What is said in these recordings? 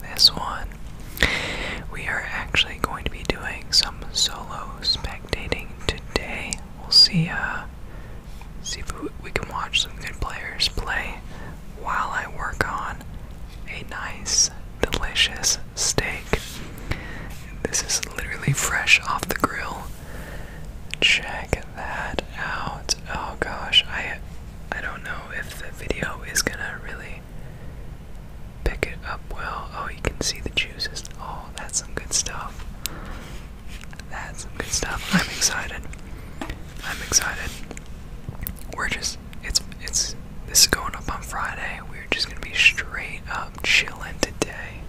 this one, we are actually going to be doing some solo spectating today. We'll see. Uh, see if we can watch some good players play while I work on a nice, delicious steak. This is literally fresh off the grill. Check that out. Oh gosh, I I don't know if the video is gonna really pick it up well. Oh, you can see the juices. Oh, that's some good stuff. That's some good stuff. I'm excited. I'm excited. We're just it's it's this is going up on Friday. We're just gonna be straight up chilling today.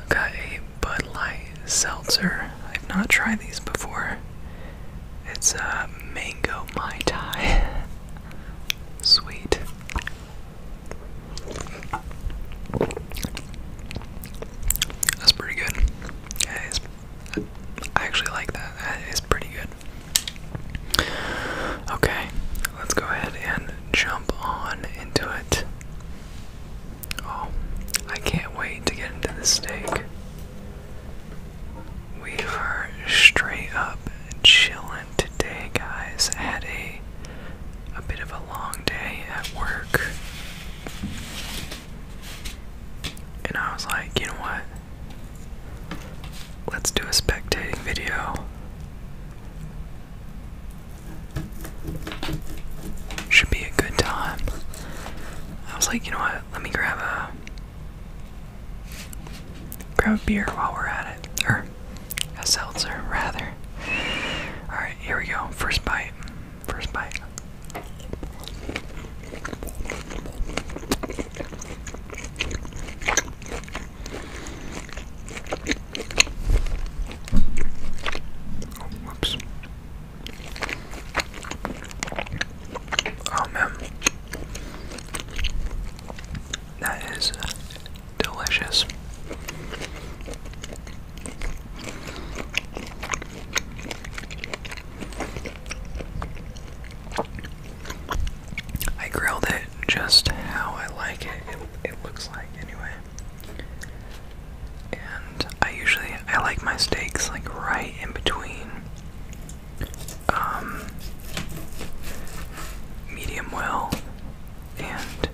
I've got a Bud Light seltzer. I've not tried these before. It's a uh, mango mai tai. Sweet. That's pretty good. Yeah, I actually like that. That is pretty good. Okay, let's go ahead and jump on into it. Oh, I can't wait to get into the steak. We are straight up chilling today, guys. I had a a bit of a long day at work. And I was like, you know what? Let's do a spectating video. Should be a good time. I was like, you know what? Let me grab a Grab a beer while we're at it, or a seltzer rather. Alright, here we go. First bite. First bite. Oh, Oh man, that is delicious. I grilled it just how I like it. It, it looks like anyway. And I usually I like my steaks like right in between um, medium well, and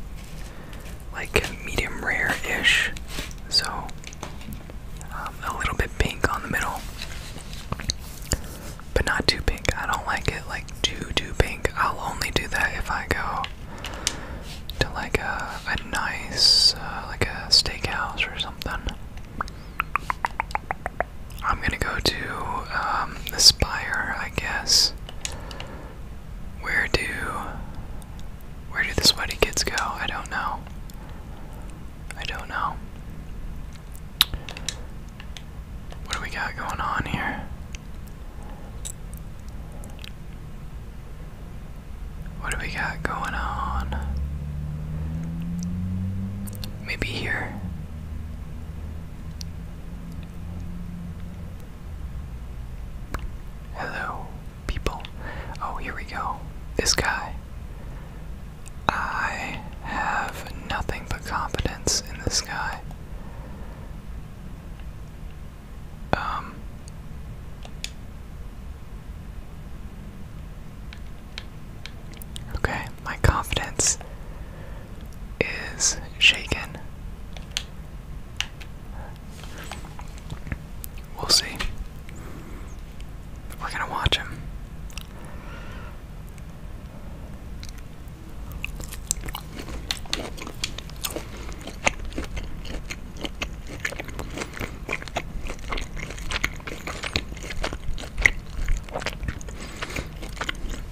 like medium rare ish. So um, a little bit pink on the middle, but not too pink. I don't like it like too too pink. I'll only do that if I go to like a, a nice uh, like a steakhouse or something. I'm gonna go to um, the spire, I guess. Where do where do the sweaty kids go? I don't know. I don't know. What do we got going on here? What do we got going on? Maybe here. Hello, people. Oh, here we go. This guy. I have nothing but confidence in this guy. Um. Okay, my confidence is shaken. We'll see. We're gonna watch him.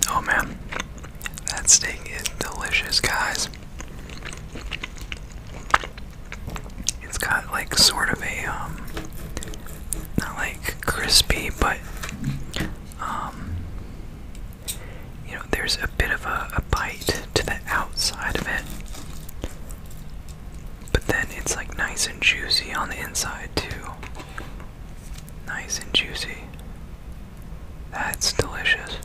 Oh man, that steak is delicious, guys. It's got like sort of a um not like crispy but um you know there's a bit of a, a bite to the outside of it but then it's like nice and juicy on the inside, too. Nice and juicy. That's delicious.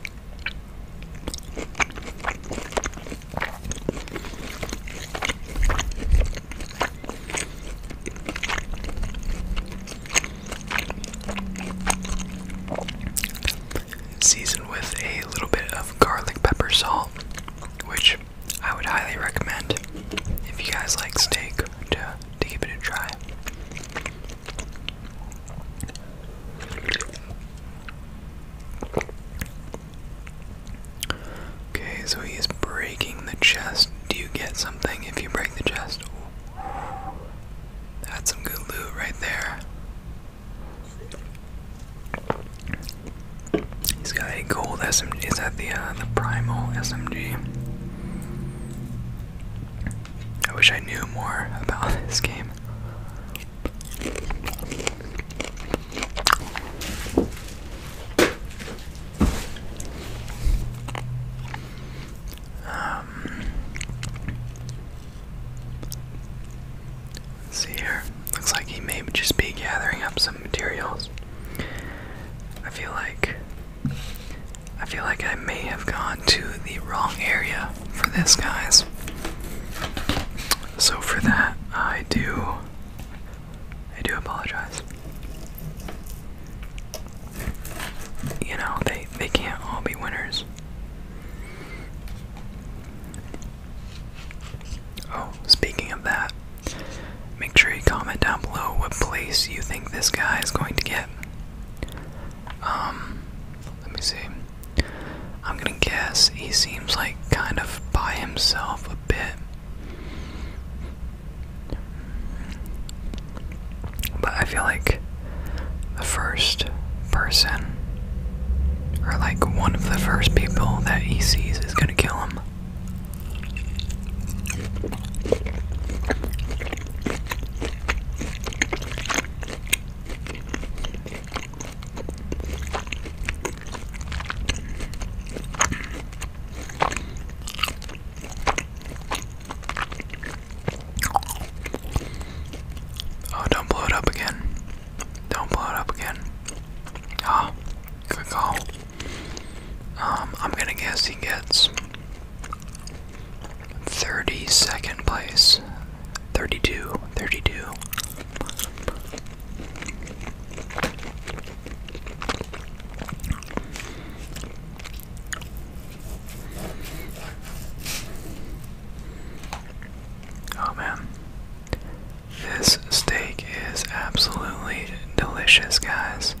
Seasoned with a little bit of garlic pepper salt, which I would highly recommend if you guys like steak to to give it a try. Okay, so he is breaking the chest. Do you get something if you break the chest? That's some good loot right there. He's got a gold SMG. Is that the uh, the primal SMG? I wish I knew more about this game. Um, See here. Looks like he may just be gathering up some materials. I feel like I feel like I may have gone to the wrong area for this, guys. So for that, I do I do apologize. You know, they they can't all be winners. Oh, speaking of that, make sure you comment down below what place you think this guy is going to get. Um, let me see. I'm gonna guess he seems like kind of by himself a bit. But I feel like the first person, or like one of the first people that he sees, is gonna kill him. Oh, don't blow it up again. Don't blow it up again. Ah. Good call. Um, I'm gonna guess he gets 32nd place. 32, 32. Oh man. This steak is absolutely delicious, guys.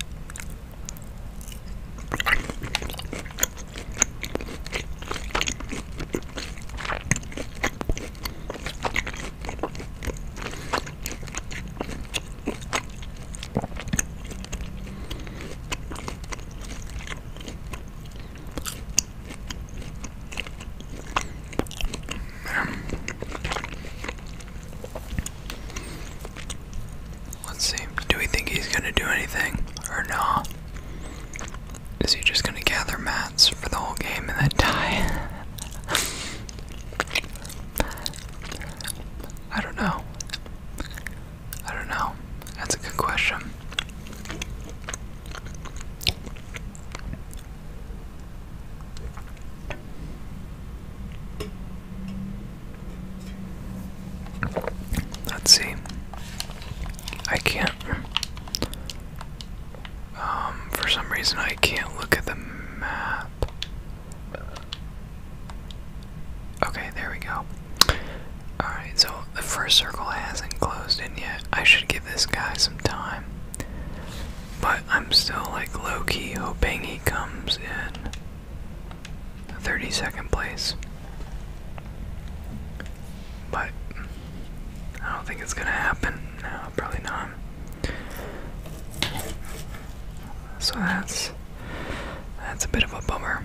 Let's see. Do we think he's gonna do anything or not? Is he just gonna gather mats for the whole game and then die? I don't know. I don't know. That's a good question. Let's see. I can't. Um, for some reason, I can't look at the map. Okay, there we go. Alright, so the first circle hasn't closed in yet. I should give this guy some time. But I'm still like low key hoping he comes in 32nd place. But I don't think it's gonna happen. No, probably not. So that's that's a bit of a bummer.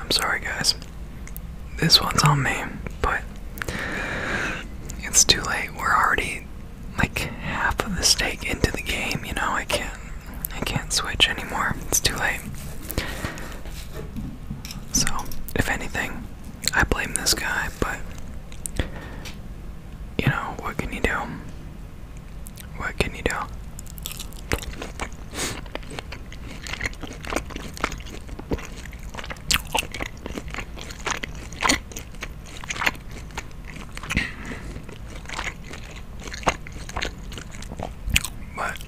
I'm sorry, guys. This one's on me, but it's too late. We're already like half of the stake into the game, you know. I can't, I can't switch anymore. It's too late. So, if anything, I blame this guy, but you know, what can you do? What can you do? But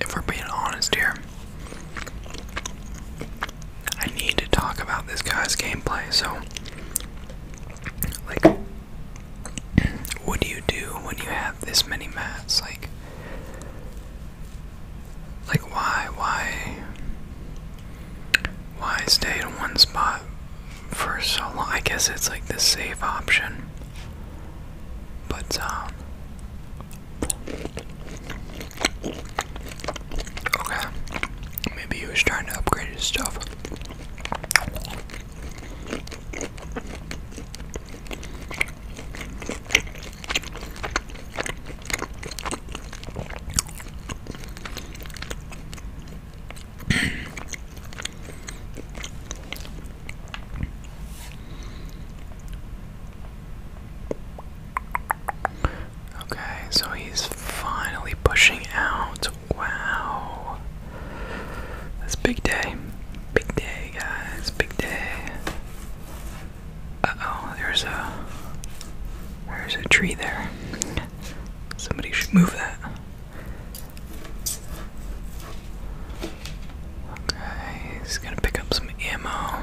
if we're being honest here, I need to talk about this guy's gameplay. So, like, what do you do when you have this many mats? Like, like why, why, why stay in one spot for so long? I guess it's like the safe option, but um, okay, maybe he was trying to upgrade his stuff. Okay, so he's finally pushing out. Wow. It's big day. Big day, guys. Big day. Uh oh, there's a. There's a tree there. Somebody should move that. Okay, he's gonna pick up some ammo.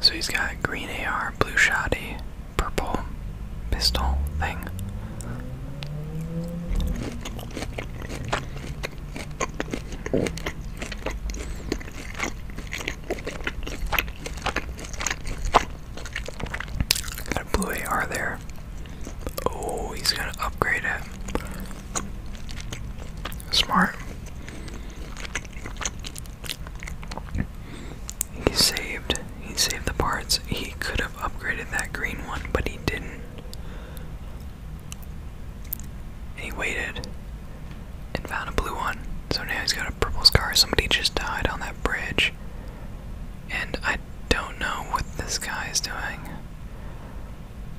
So he's got green AR, blue shoddy, purple pistol thing. Got a blue AR there. Oh, he's gonna upgrade it. Smart. He saved. He saved the parts. He could have upgraded that green one, but he didn't. And he waited and found a blue one. So now he's got a purple scar. Somebody just died on that bridge. And I don't know what this guy is doing.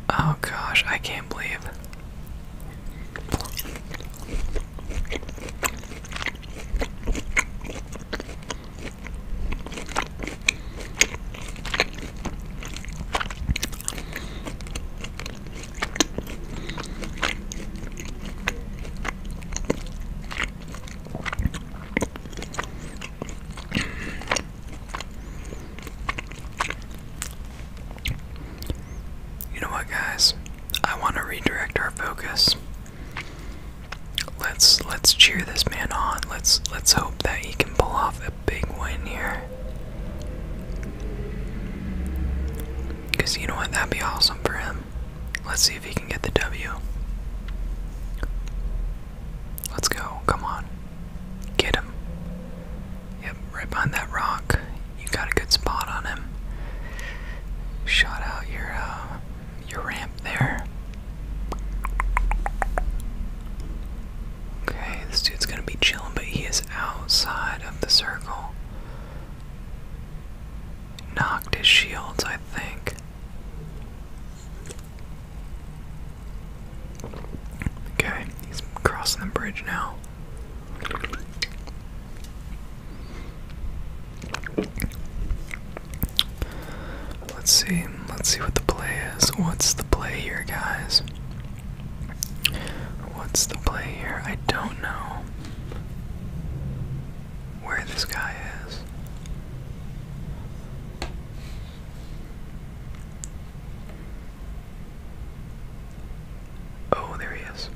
Oh gosh, I can't believe. You know what, guys? I want to redirect our focus. Let's let's cheer this man on. Let's let's hope that he can pull off a big win here. Because you know what? That'd be awesome for him. Let's see if he can get the W. Let's go. Come on. Get him. Yep, right behind that rock. You got a good spot on him. Shot out your uh, your ramp there. Okay, this dude's gonna be chilling, but he is outside of the circle. Knocked his shields, I think. Okay, he's crossing the bridge now. Let's see. Let's see what the play is. What's the play here, guys? What's the play here? I don't know where this guy is. Oh, there he is.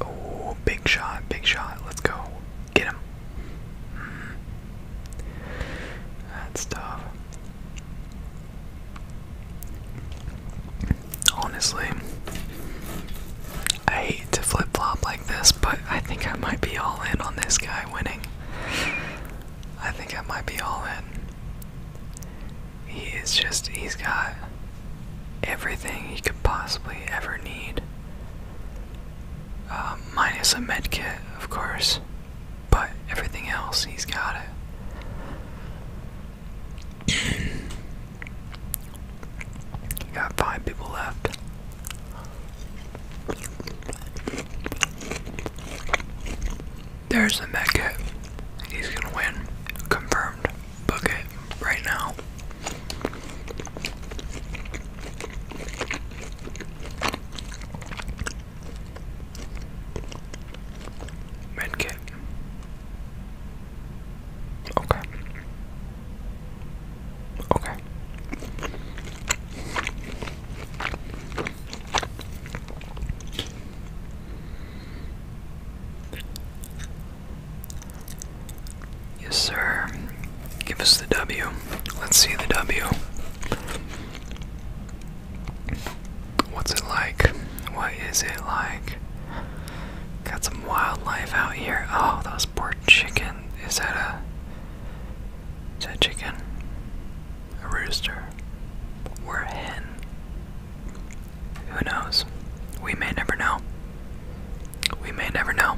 Oh, big shot, big shot. Let's go. Get him. That's tough. Honestly, I hate to flip flop like this, but I think I might be all in on this guy winning. I think I might be all in. He is just, he's got everything he could possibly ever need. Uh, minus a medkit, of course. But everything else, he's got it. got five people left. There's the Mecca. He's gonna win. Confirmed. Book it right now. Okay. Okay. Yes, sir. Give us the W. Let's see the W. What's it like? What is it like? Got some wildlife out here. Oh, those poor chicken. Is that a is that chicken? A rooster? Or a hen? Who knows? We may never know. We may never know.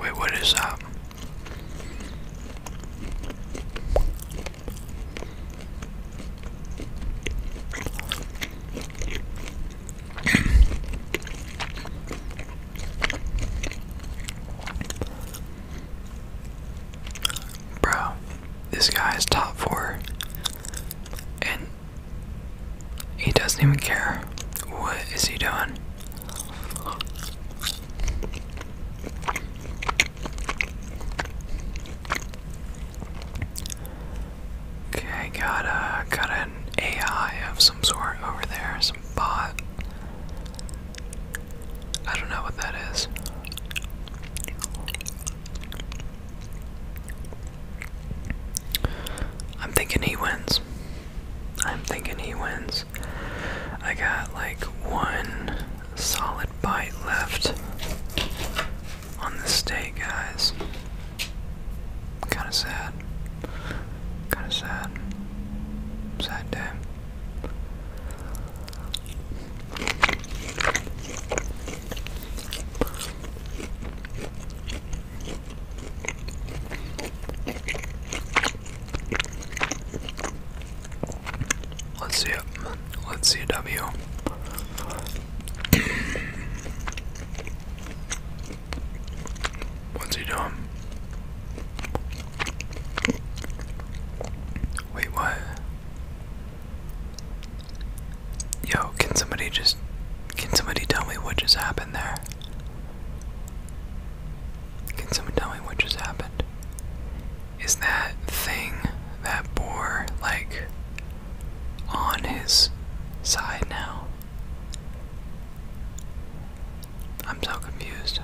Wait, what is that? Bro, this guy is top four, and he doesn't even care. What is he doing? Okay, got a got an AI of some sort over there, some I don't know what that is. I'm thinking he wins. I'm thinking he wins. I got like one solid bite left on the day, guys. Kind of sad. Kind of sad. Sad day. Let's see it. Let's see a W. What's he doing? Wait, what? Yo, can somebody just. Can somebody tell me what just happened there? Can someone tell me what just happened? Is that thing, that boar, like on his side now? I'm so confused.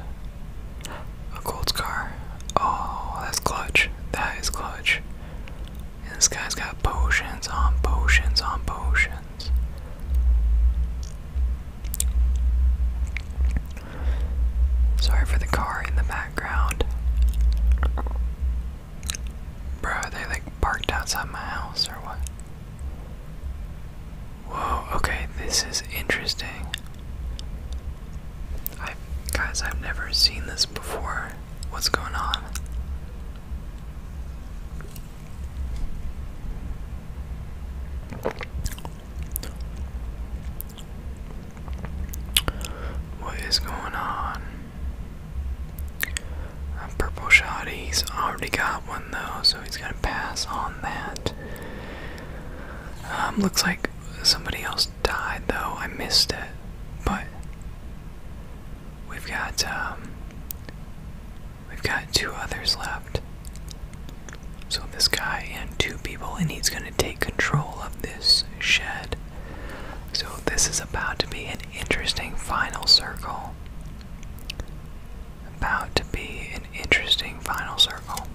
A Colts car. Oh, that's clutch. That is clutch. this guy's got potions on potions on potions. Sorry for the car in the background. Bro, are they like parked outside my house or what? Whoa, okay, this is interesting. I guys, I've never seen this before. What's going on? What is going on? A purple shot, he's already got one one so he's gonna pass on that. Um, looks like somebody else died though. I missed it, but we've got um, we've got two others left. So this guy and two people, and he's gonna take control of this shed. So this is about to be an interesting final circle about to be an interesting final circle.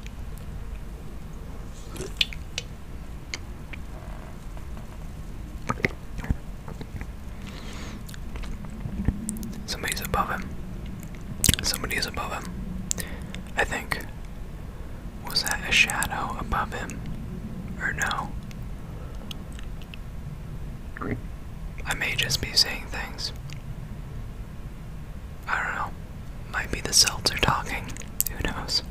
Somebody's above him. Somebody is above him. I think. Was that a shadow above him? Or no? I may just be saying things. I don't know. Might be the are talking. Who knows?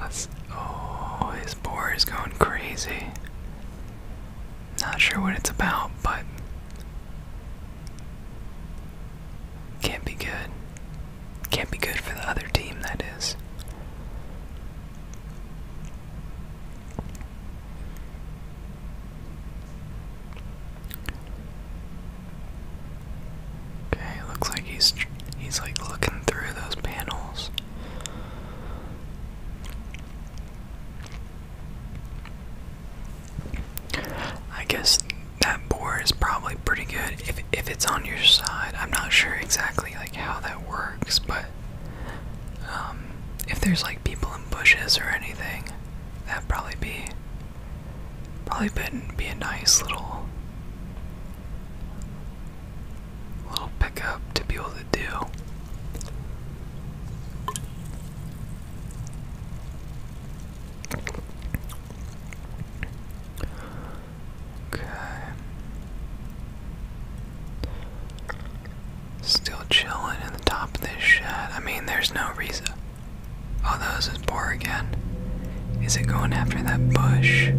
Let's. Oh, his boar is going crazy. Not sure what it's about, but. Can't be good. Can't be good for the other team, that is. Okay, looks like he's he's like looking through those panels. I guess that board is probably pretty good if if it's on your side. I'm not sure exactly like how that works, but um, if there's like people in bushes or anything, that'd probably be probably be a nice little little pickup to be able to do. Okay. Still chilling in the top of this shed. I mean, there's no reason. Oh, those is poor again. Is it going after that bush?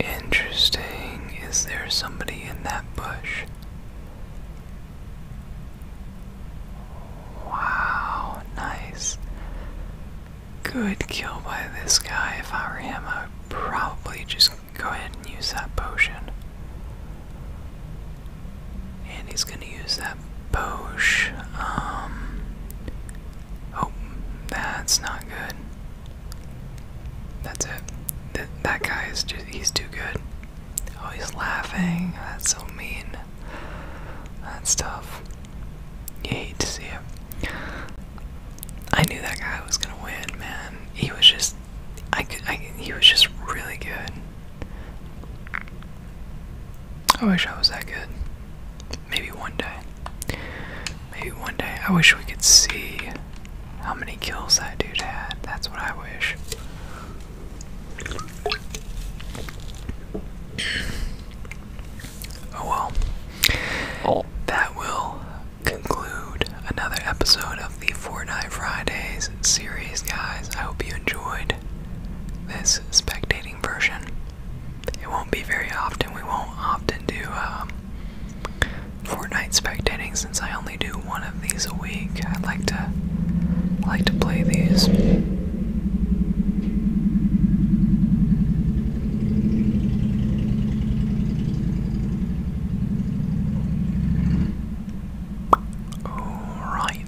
Interesting. Is there somebody in that bush? Wow, nice good kill by this guy. If I were him, I would probably just go ahead and use that potion. And he's gonna use that potion. Um. Oh, that's not good. That's it. Th that guy is just, he's too good. Oh, he's laughing. That's so mean. That's tough. You hate to see him. I knew that guy was gonna win, man. He was just, I could, I, he was just really good. I wish I was that good. Maybe one day. Maybe one day. I wish we could see how many kills that dude had. That's what I wish. Oh well. Oh. That will conclude another episode of the Fortnite Fridays series, guys. I hope you enjoyed this spectating version. It won't be very often. We won't often do um, Fortnite spectating since I only do one of these a week. I like to like to play these Alright.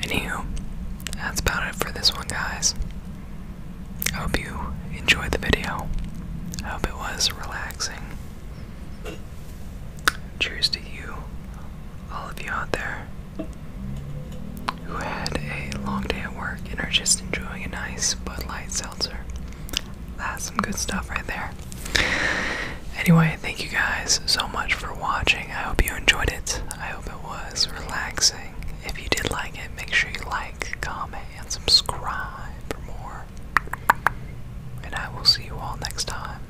Anywho, that's about it for this one, guys. I hope you enjoyed the video. I hope it was relaxing. Cheers to you, all of you out there who had a long day at work and are just enjoying a nice Bud Light seltzer. That's some good stuff right there. Anyway, thank you guys so much for watching. I hope you enjoyed it. I hope it was relaxing. If you did like it, make sure you like, comment, and subscribe for more. And I will see you all next time.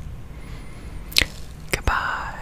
Goodbye.